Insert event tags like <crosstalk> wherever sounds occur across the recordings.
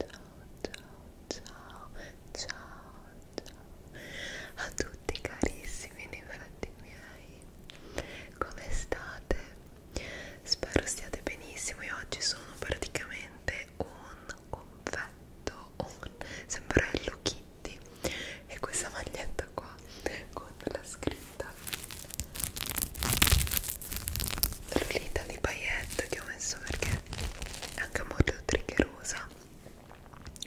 ciao, ciao, ciao, ciao a tutti carissimi infatti miei, come state? Spero stiate benissimo, io oggi sono praticamente un confetto, un sempre Hello Kitty e questa maglietta qua con la scritta Lolita di paillette che ho messo perché è anche molto triggerosa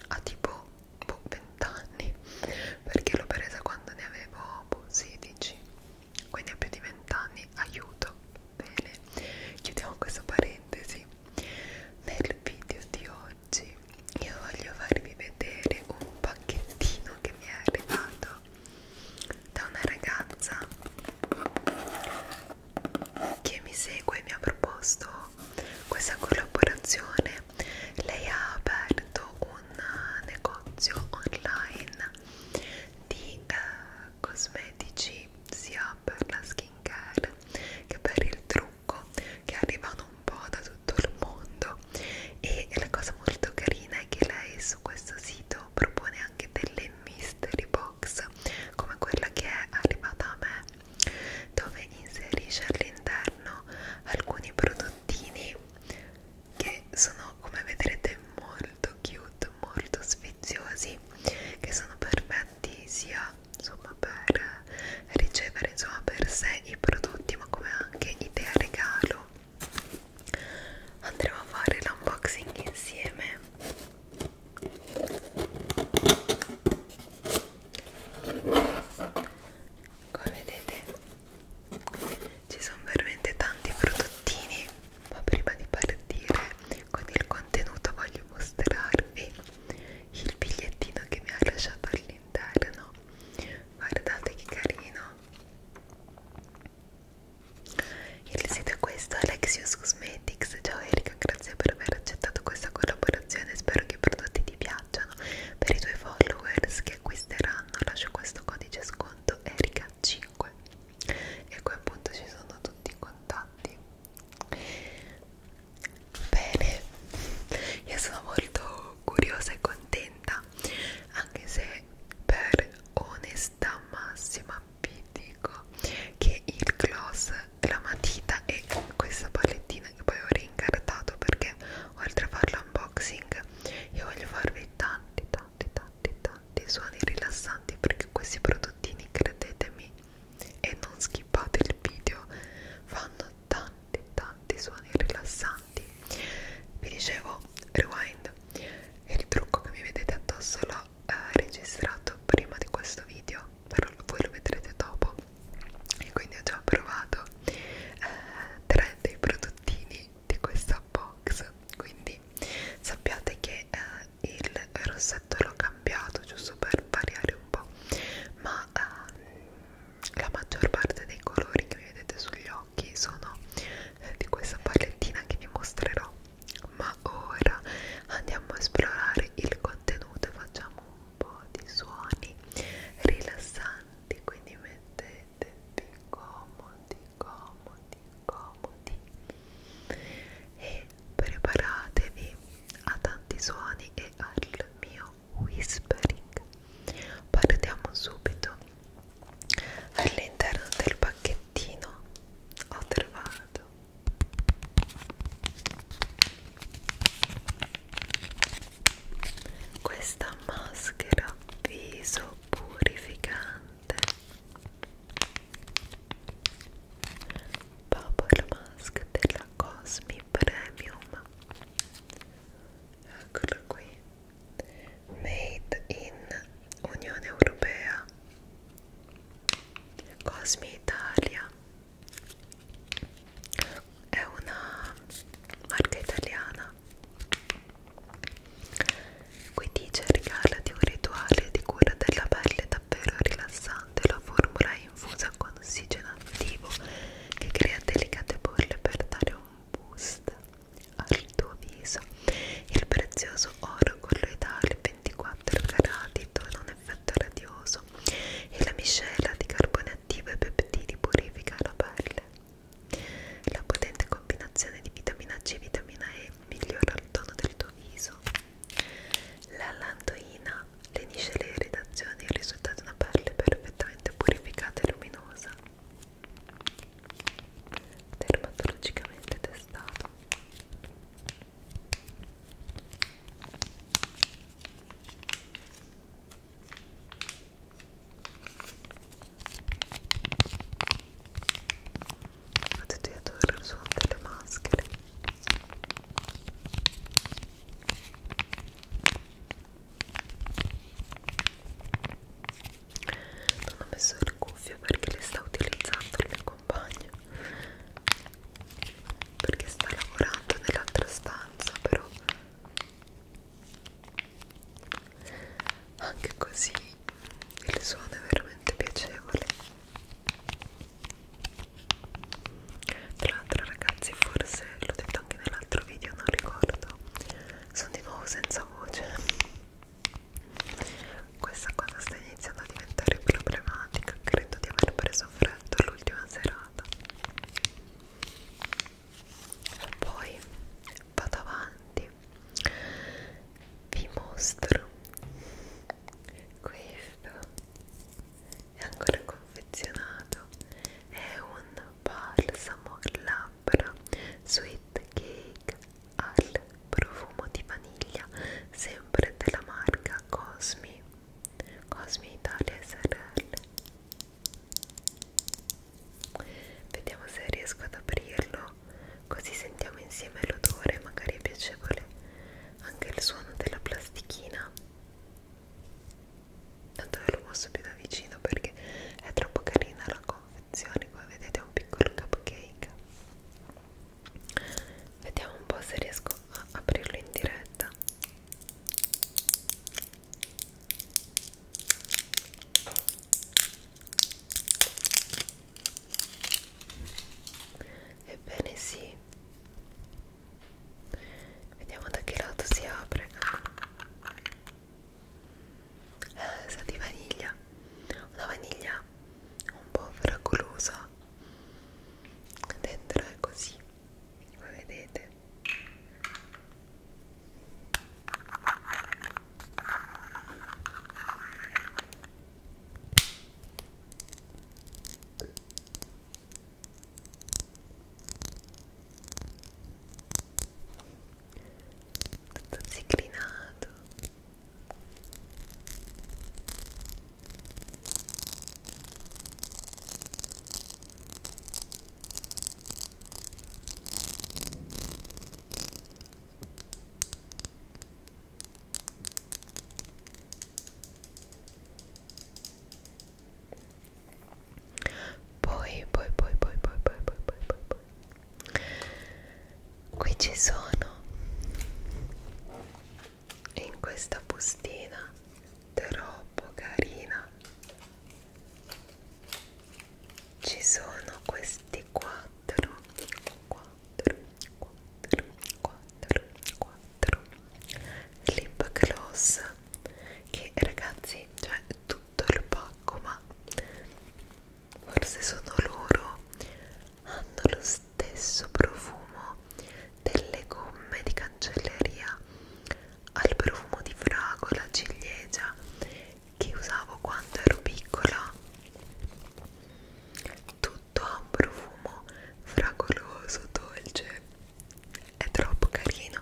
a tipo boh, 20 anni perché l'ho presa quando ne avevo boh, 16 quindi a più di 20 anni aiuto bene chiudiamo questa parentesi nel video di oggi io voglio farvi vedere un pacchettino che mi è arrivato da una ragazza che mi segue mi ha proposto questa collaborazione lei ha aperto un negozio online di eh, cosmetici sia per la skincare che per il trucco che arrivano un po' da tutto il mondo e la cosa molto carina è che lei su questo sito propone anche delle mystery box box come quella che è arrivata a me dove inserisce all'interno alcuni prodottini che sono come vedrete molto cute, molto sfiziosi che sono perfetti sia insomma per ricevere insomma per sé i prodotti ma come anche idea regalo andremo a fare l'unboxing insieme come vedete ci sono veramente tanti prodottini ma prima di partire con il contenuto voglio mostrarvi il bigliettino che mi ha lasciato all'interno guardate che carino il sito è questo, Alexius Cosmetics. Ciao Erika, grazie per aver accettato questa collaborazione. Spero che i prodotti ti piacciono. Per i tuoi followers che acquisteranno, lascio questo codice sconto Erika5. E qui appunto ci sono tutti i contatti. Bene, io sono molto curiosa e contenta, anche se per onestà massima tappi dico che il gloss la matita e questa palettina che poi ho rincartato perché oltre a fare l'unboxing io voglio farvi tanti tanti tanti tanti suoni rilassanti perché questi prodottini credetemi e non skippate il video fanno tanti tanti suoni rilassanti vi dicevo rewind e il trucco che mi vedete addosso l'ho eh, registrato prima di questo video però voi lo vedrete dopo e quindi ho già provato eh, tre dei prodottini di questa box quindi sappiate che eh, il rossetto l'ho cambiato giusto per variare un po' ma eh, la maggior parte dei colori che mi vedete sugli occhi sono eh, di questa palettina che vi mostrerò ma ora andiamo a esplorare il contenuto e facciamo un po' di suoni rilassanti quindi mettetevi comodi comodi comodi e preparatevi a tanti suoni e al mio whispering partiamo subito all'interno del pacchetto oggettino ho trovato questa maschera viso purificante Bubble Mask della Cosmi Premium eccola qui made in Unione Europea Cosme Italia è una marca italiana qui dice regalati un rituale di cura della pelle davvero rilassante la formula è infusa con ossigeno attivo che crea delicate bolle per dare un boost al tuo viso il prezioso oro colloidale 24 carati dona un effetto radioso e la miscela di carbone attivo e peptidi purifica la pelle la potente combinazione di vitamina C e vitamina E migliora il tono del tuo viso la lantoina lenisce le irritazioni e risulta una pelle perfettamente purificata e luminosa dermatologicamente testato a tutti adoro il suono delle maschere non ho messo il cuffio perché le sta utilizzando il mio compagno perché sta lavorando nell'altra stanza però anche così il suono è veramente piacevole tra l'altro ragazzi forse l'ho detto anche nell'altro video non ricordo sono di nuovo senza voce questa cosa sta iniziando a diventare problematica, credo di aver preso freddo l'ultima serata. Poi vado avanti, vi mostro questo, è ancora confezionato, è un balsamo labbra labbra sweet cake al profumo di vaniglia sempre della marca Cosmi Cosmi Italia SRL vediamo se riesco ad aprirlo così sentiamo insieme l'odore magari è piacevole anche il suono della plastichina tanto ve lo mostro più da vicino perché è troppo carina la cosa confezione come vedete è un piccolo cupcake vediamo un po' se riesco a aprirlo in diretta ebbene sì vediamo da che lato si apre eh, sa di vaniglia una vaniglia un po' fragolosa dentro è così come vedete tutto zicrinato poi poi poi poi poi poi poi poi poi poi qui ci sono in questa bustina troppo carina ci sono questi quattro quattro quattro quattro quattro lip gloss che ragazzi cioè tutto il pacco ma forse sono loro hanno lo stesso profumo delle gomme di cancelleria al profumo di fragola, ciliegia che usavo quando ero piccola tutto ha un profumo fragoloso, dolce è troppo carino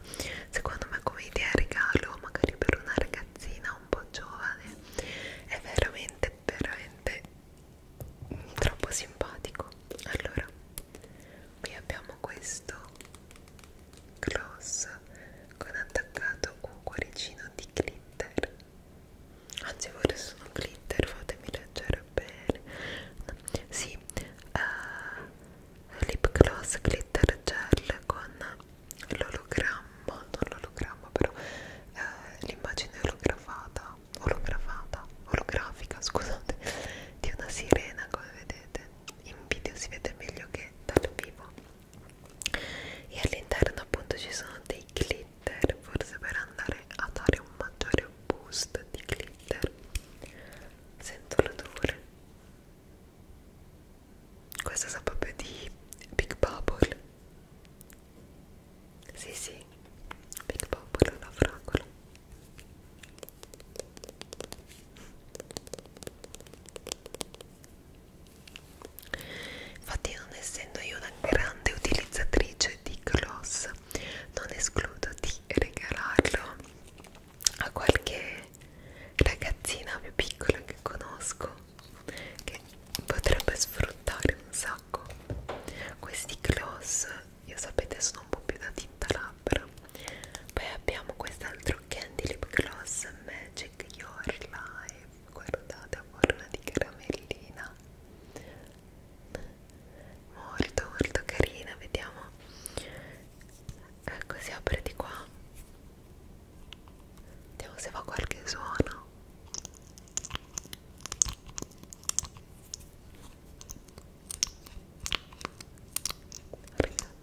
secondo me come idea regalo magari per una ragazzina un po' giovane è veramente veramente troppo simpatico allora qui abbiamo questo gloss con attaccato un cuoricino di glitter anzi vorrei sono glitter fatemi leggere bene no. sì uh, lip gloss glitter gel con l'ologramma, non l'ologramma però eh, l'immagine olografata, olografata, olografica scusate, di una sirena come vedete, in video si vede meglio che dal vivo e all'interno appunto ci sono dei glitter forse per andare a dare un maggiore boost di glitter sento l'odore questo sa proprio di Big Bubble. Sì, sì, Big Bubble è una fragola. Infatti, non essendo io una grande utilizzatrice di gloss, non escludo di regalarlo a qualche ragazzina più piccola che conosco che potrebbe sfruttare un sacco questi gloss io sapete sono un po' più da tinta labbra poi abbiamo quest'altro candy lip gloss magic your life guardate a forma di caramellina molto molto carina vediamo ecco si apre di qua vediamo se fa qualche suono Guardate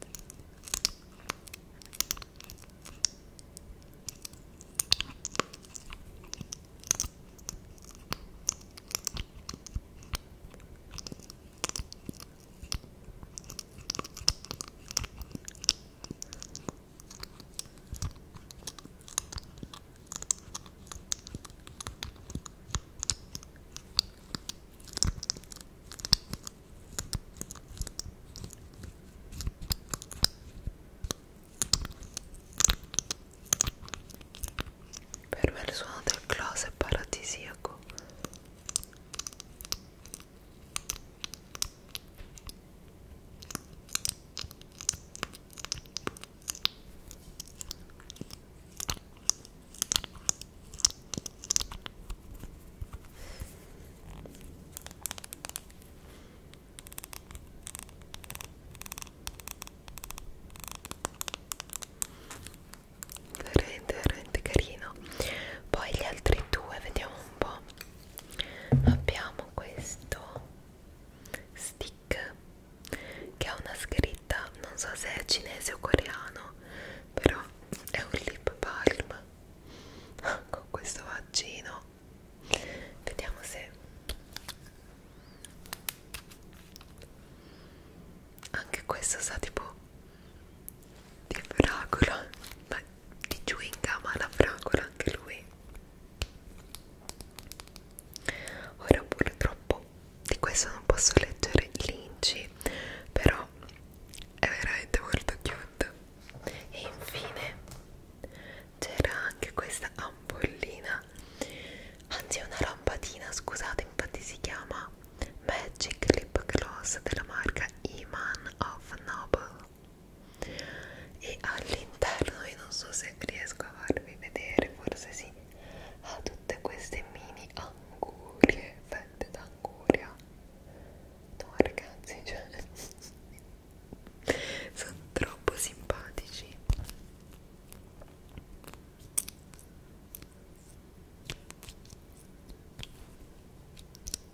per me il suono del close è paradisiaco Veramente, veramente carino. Poi gli altri due, vediamo un po' abbiamo questo stick che ha una scritta non so se è cinese o coreano però è un lip balm <laughs> con questo vaccino vediamo se anche questo sa tipo di fragola ma di chewing gum alla fragola anche lui ora purtroppo di questo non posso leggere i linci però è veramente molto cute e infine c'era anche questa ampollina anzi è una lampadina scusate infatti si chiama Magic Lip Gloss della marca Iman of Noble e all'interno io non so se riesco a farvi vedere forse sì ha tutte queste mini angurie fette d'anguria no ragazzi cioè <laughs> sono troppo simpatici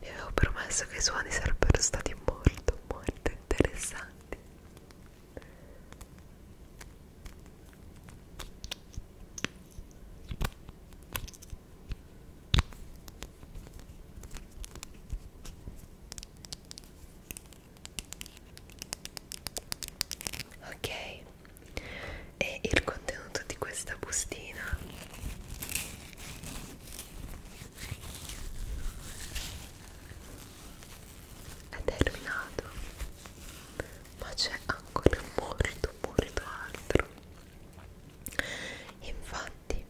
Vi avevo promesso che i suoni sarebbero stati molto molto interessanti. Ok, e il contenuto di questa bustina è terminato ma c'è ancora molto molto altro infatti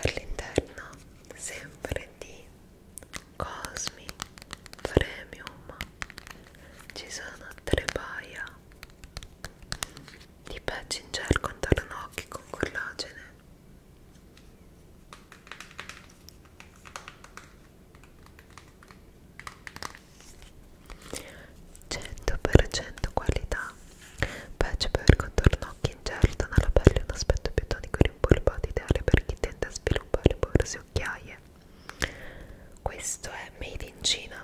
all'interno sempre di Cosmic premium ci sono tre paia di patching gel contorno occhi con collagene cento per cento qualità patch per contorno occhi in gel dona alla pelle un aspetto più tonico rimpolpato ideale per chi tende a sviluppare porose occhiaie questo è made in Cina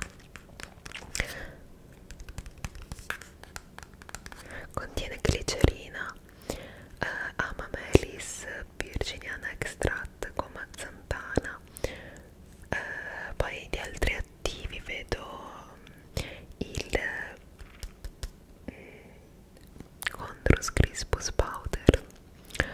contiene glicerina eh, amamelis virginiana extract gomma zantana eh, poi di altri attivi vedo mm, il mm, Condrus crispus powder uh,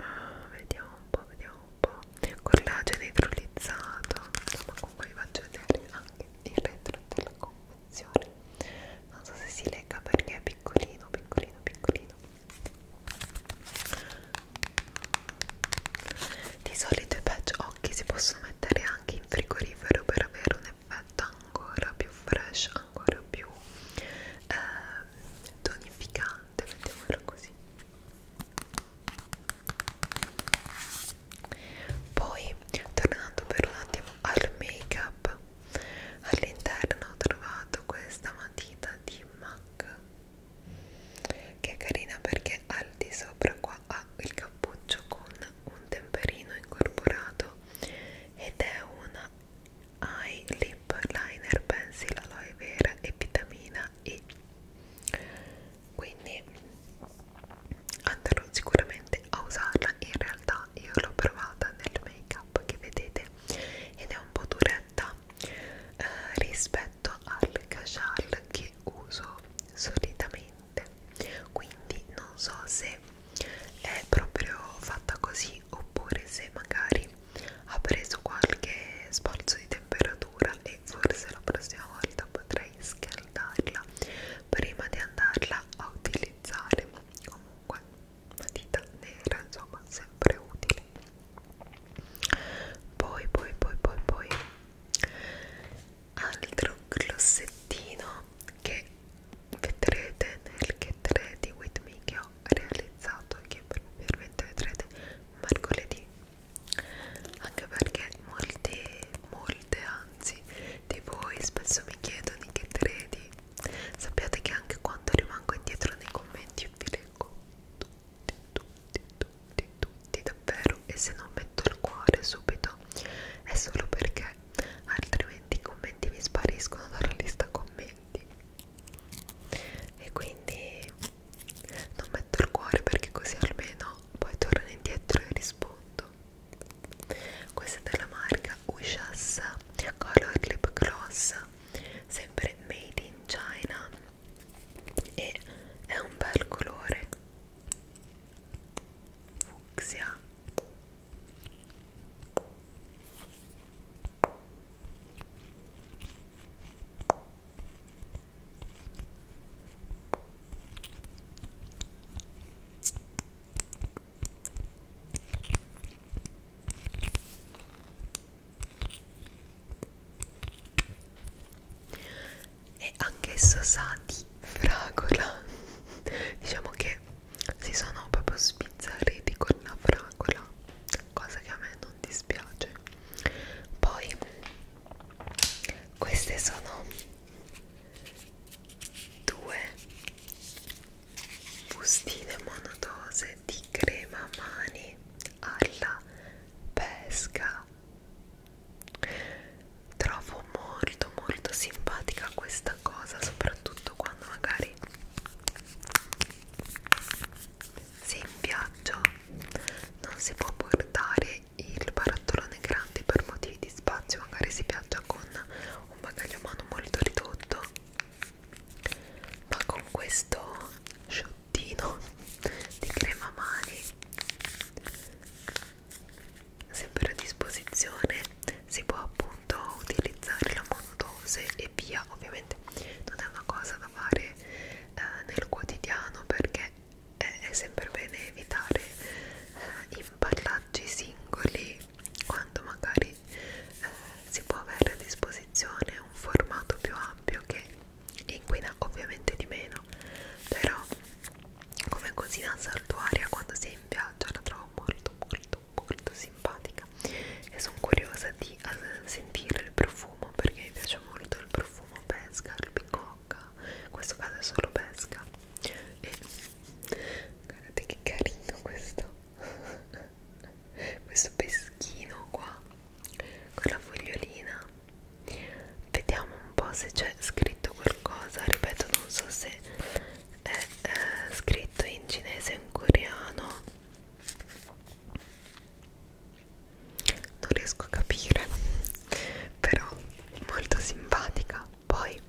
uh, vediamo un po' vediamo un po' collagene idrolizzato insomma comunque vi faccio vedere anche il retro della confezione non so se si legga perché è piccolino piccolino piccolino di solito i patch occhi si possono mettere anche in frigorifero per avere un effetto ancora più fresh ancora più eh, tonificante, mettiamolo così. Poi, tornando per un attimo al make-up, all'interno ho trovato questa matita di MAC che è carina perché al di sopra qua ha il cappuccio con un temperino incorporato ed è una Eye Lip Liner Pencil Aloe Vera e Vitamina E quindi andrò sicuramente a usarla in realtà io l'ho provata nel make up che vedete ed è un po' duretta eh, rispetto al casual che uso solitamente quindi non so se è proprio fatta così oppure se magari ha preso qualche sbalzo di temperatura e forse la prossima volta potrei scaldarla prima di andarla a utilizzare comunque una dita nera insomma sempre utile poi poi poi poi poi altro glossettino che vedrete nel che 3 di Whitney che ho realizzato e che probabilmente vedrete mercoledì anche perché molti, molte anzi di voi spesso mi chiedono di che 3 di sappiate che anche quando rimango indietro nei commenti vi leggo tutti, tutti, tutti, tutti davvero e se non metto il cuore subito è solo perché altrimenti i commenti mi spariscono dalla lista commenti commenti e quindi non metto il cuore perché così almeno poi torno indietro e rispondo questa è della marca Ushas Color Lip Gloss sempre made in China e è un bel colore fucsia e anch'esso sa di fragola <laughs> diciamo che si sono proprio sbizzarriti con la fragola cosa che a me non dispiace poi queste sono due bustine monodose di crema mani alla pesca trovo molto molto simpatica questa cosa soprattutto quando magari se in viaggio non si può portare il barattolone grande per motivi di spazio, magari si viaggia con un bagaglio a mano molto ridotto, ma con questo sciottino di crema mani sempre a disposizione si può appunto utilizzare la monodose e via ovviamente non è una cosa da fare eh, nel quotidiano perché è, è sempre bene evitare eh, impallaggi singoli quando magari eh, si può avere a disposizione un formato più ampio che inquina ovviamente di meno però come cosina saltuaria quando si è in viaggio la trovo molto molto molto simpatica e sono curiosa di sentire il profumo perché mi piace molto il profumo pesca, albicocca in questo caso è solo pesca e guardate che carino questo <laughs> questo peschino qua con la fogliolina vediamo un po' se c'è scritto qualcosa ripeto non so se è eh, scritto in cinese e in coreano non riesco a capire però molto simpatica poi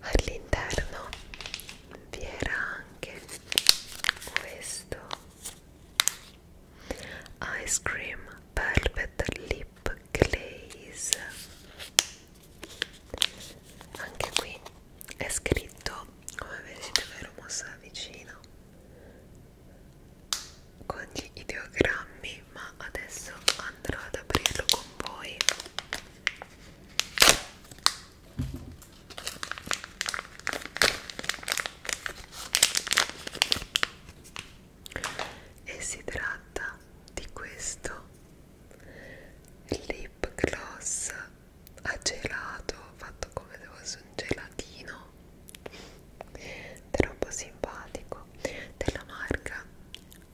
all'interno vi era anche questo ice cream velvet lip glaze anche qui è scritto come vedete vero mossa vicino con gli ideogrammi ma adesso andrò ad aprirlo con voi e si tratta di questo lip gloss a gelato fatto come se fosse un gelatino troppo simpatico della marca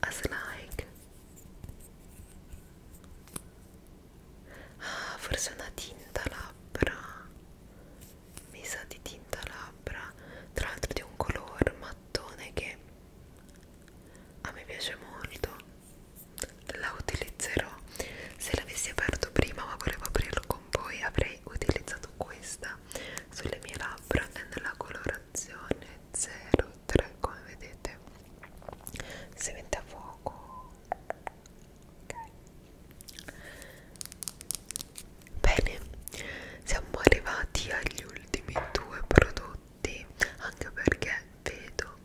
Aslike ah forse una tinta labbra mi sa di tinta labbra tra l'altro di un color mattone che a me piace molto la utilizzerò se l'avessi aperto prima ma volevo aprirlo con voi avrei utilizzato questa sulle mie labbra è nella colorazione 03 come vedete si mette a fuoco okay. bene siamo arrivati agli ultimi due prodotti minuti anche perché vedo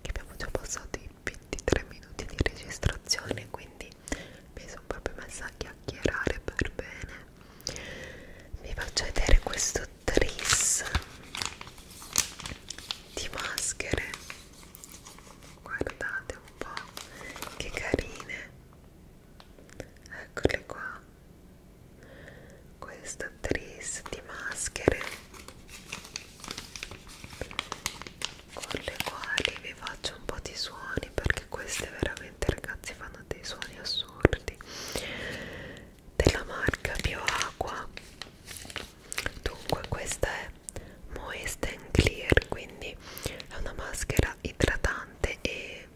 che abbiamo già passato i 23 minuti di registrazione quindi mi sono proprio messa a chiacchierare per bene vi faccio vedere questo tris di maschere guardate un po' che carine eccole qua questa tris di maschere con le quali vi faccio un po' di suoni perché queste veramente ragazzi fanno dei suoni assurdi della marca Bioacqua dunque questa è Moist and Clear quindi è una maschera idratante e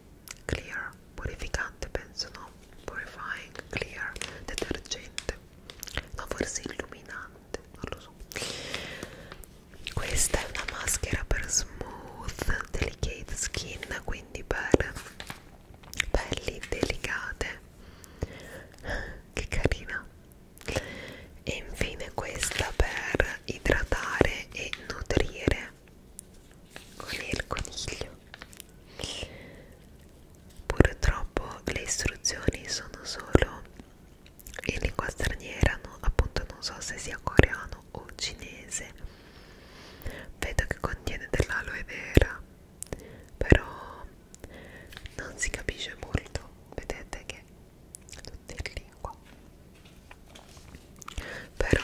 clear purificante penso no purifying clear detergente no forse illuminante non lo so questa è una maschera per smooth delicate skin quindi per pelli delicate che carina e infine questa per idratare e nutrire con il coniglio purtroppo le istruzioni sono solo in lingua straniera no? appunto non so se sia coreano o cinese vedo che contiene dell'aloe vera però non si capisce molto vedete che è tutto in lingua però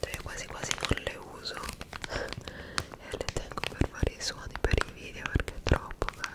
cioè quasi quasi non le uso <laughs> e le tengo per fare i suoni per i video perché è troppo bello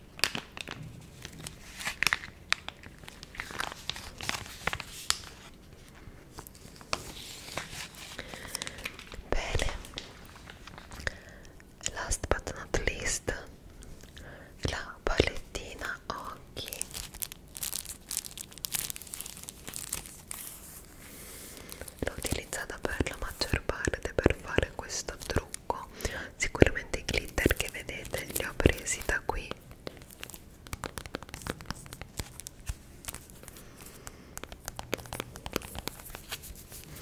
Bene, last but not least, la palettina occhi. L'ho utilizzata per la maggior parte per fare questo trucco qua sicuramente i glitter che vedete li ho presi da qui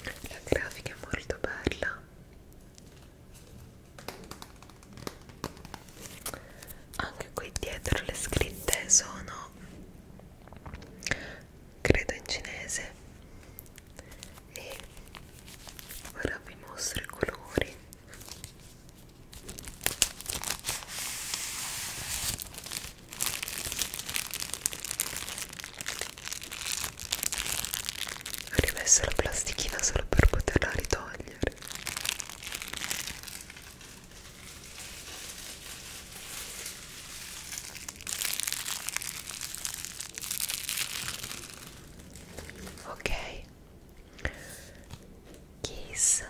la grafica è molto bella anche qui dietro le scritte sono credo in cinese e ora vi mostro i colori ho rimesso la plastichina solo per poterla ritogliere ok kiss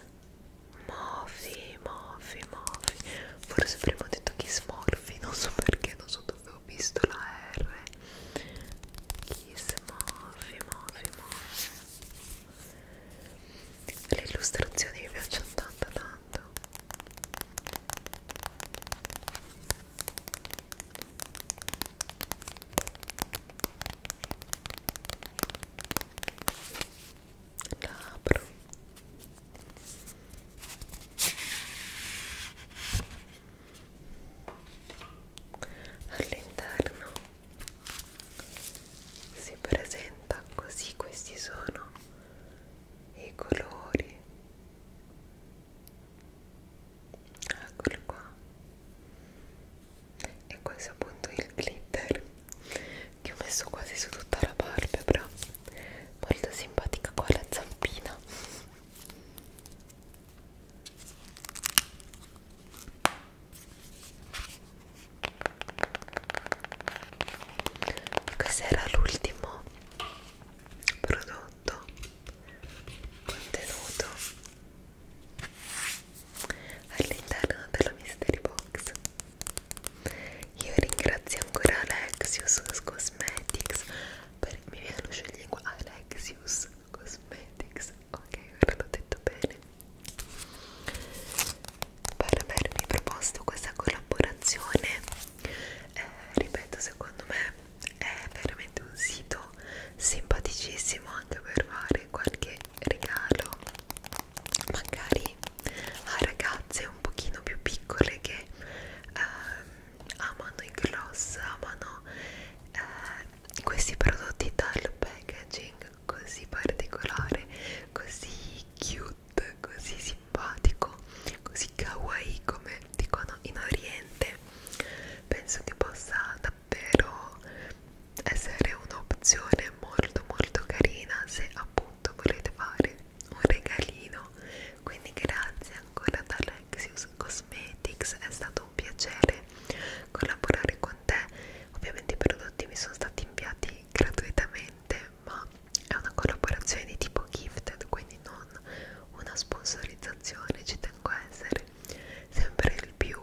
morphy morphy morphy forse prima ho detto kiss morphy non so perché non so dove ho visto la r kiss morphy morphy morphy le illustrazioni mi piacciono tanto tanto la apro all'interno si presenta così questi sono i colori eccolo qua e questo è appunto il glitter che ho messo quasi su tutta la palpebra molto simpatica qua la zampina questo era l'ultimo prodotto contenuto all'interno della mystery box io ringrazio ancora Alexius Cosmetics per mi viene lo scioglingua Alexius Cosmetics ok ora l'ho detto bene per avermi proposto questa collaborazione eh, ripeto secondo me è veramente un sito simpaticissimo anche per fare qualche regalo magari a ragazze un pochino più piccole che eh, amano i gloss amano eh, questi prodotti dal packaging così particolare così cute così simpatico, così kawaii come dicono in Oriente, penso che possa davvero essere un'opzione molto molto carina se appunto volete fare un regalino. Quindi grazie ancora da Lexius Cosmetics, è stato un piacere collaborare con te. Ovviamente i prodotti mi sono stati inviati gratuitamente, ma è una collaborazione di tipo gifted, quindi non non una sponsorizzazione, ci tengo a essere sempre il più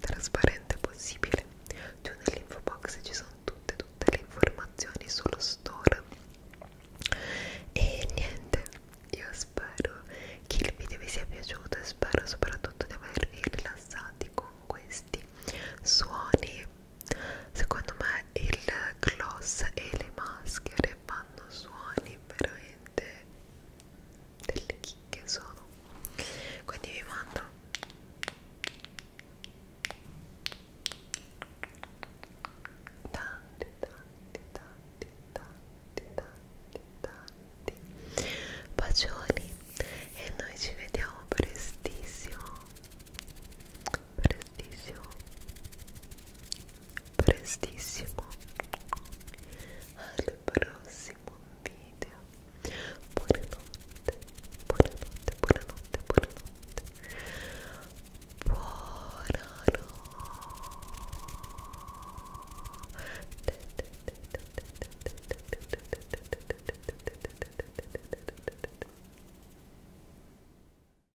trasparente possibile. Giù nell'info box ci sono tutte, tutte le informazioni sullo store. E niente, io spero che il video vi sia piaciuto e spero soprattutto di avervi rilassati con questi suoni. Secondo me il gloss e le maschere vanno fanno suoni veramente delle chicche sono quindi vi mando tanti tanti tanti tanti tanti tanti bacioni e noi ci vediamo prestissimo prestissimo prestissimo al prossimo video buonanotte buonanotte buonanotte buonanotte buonanotte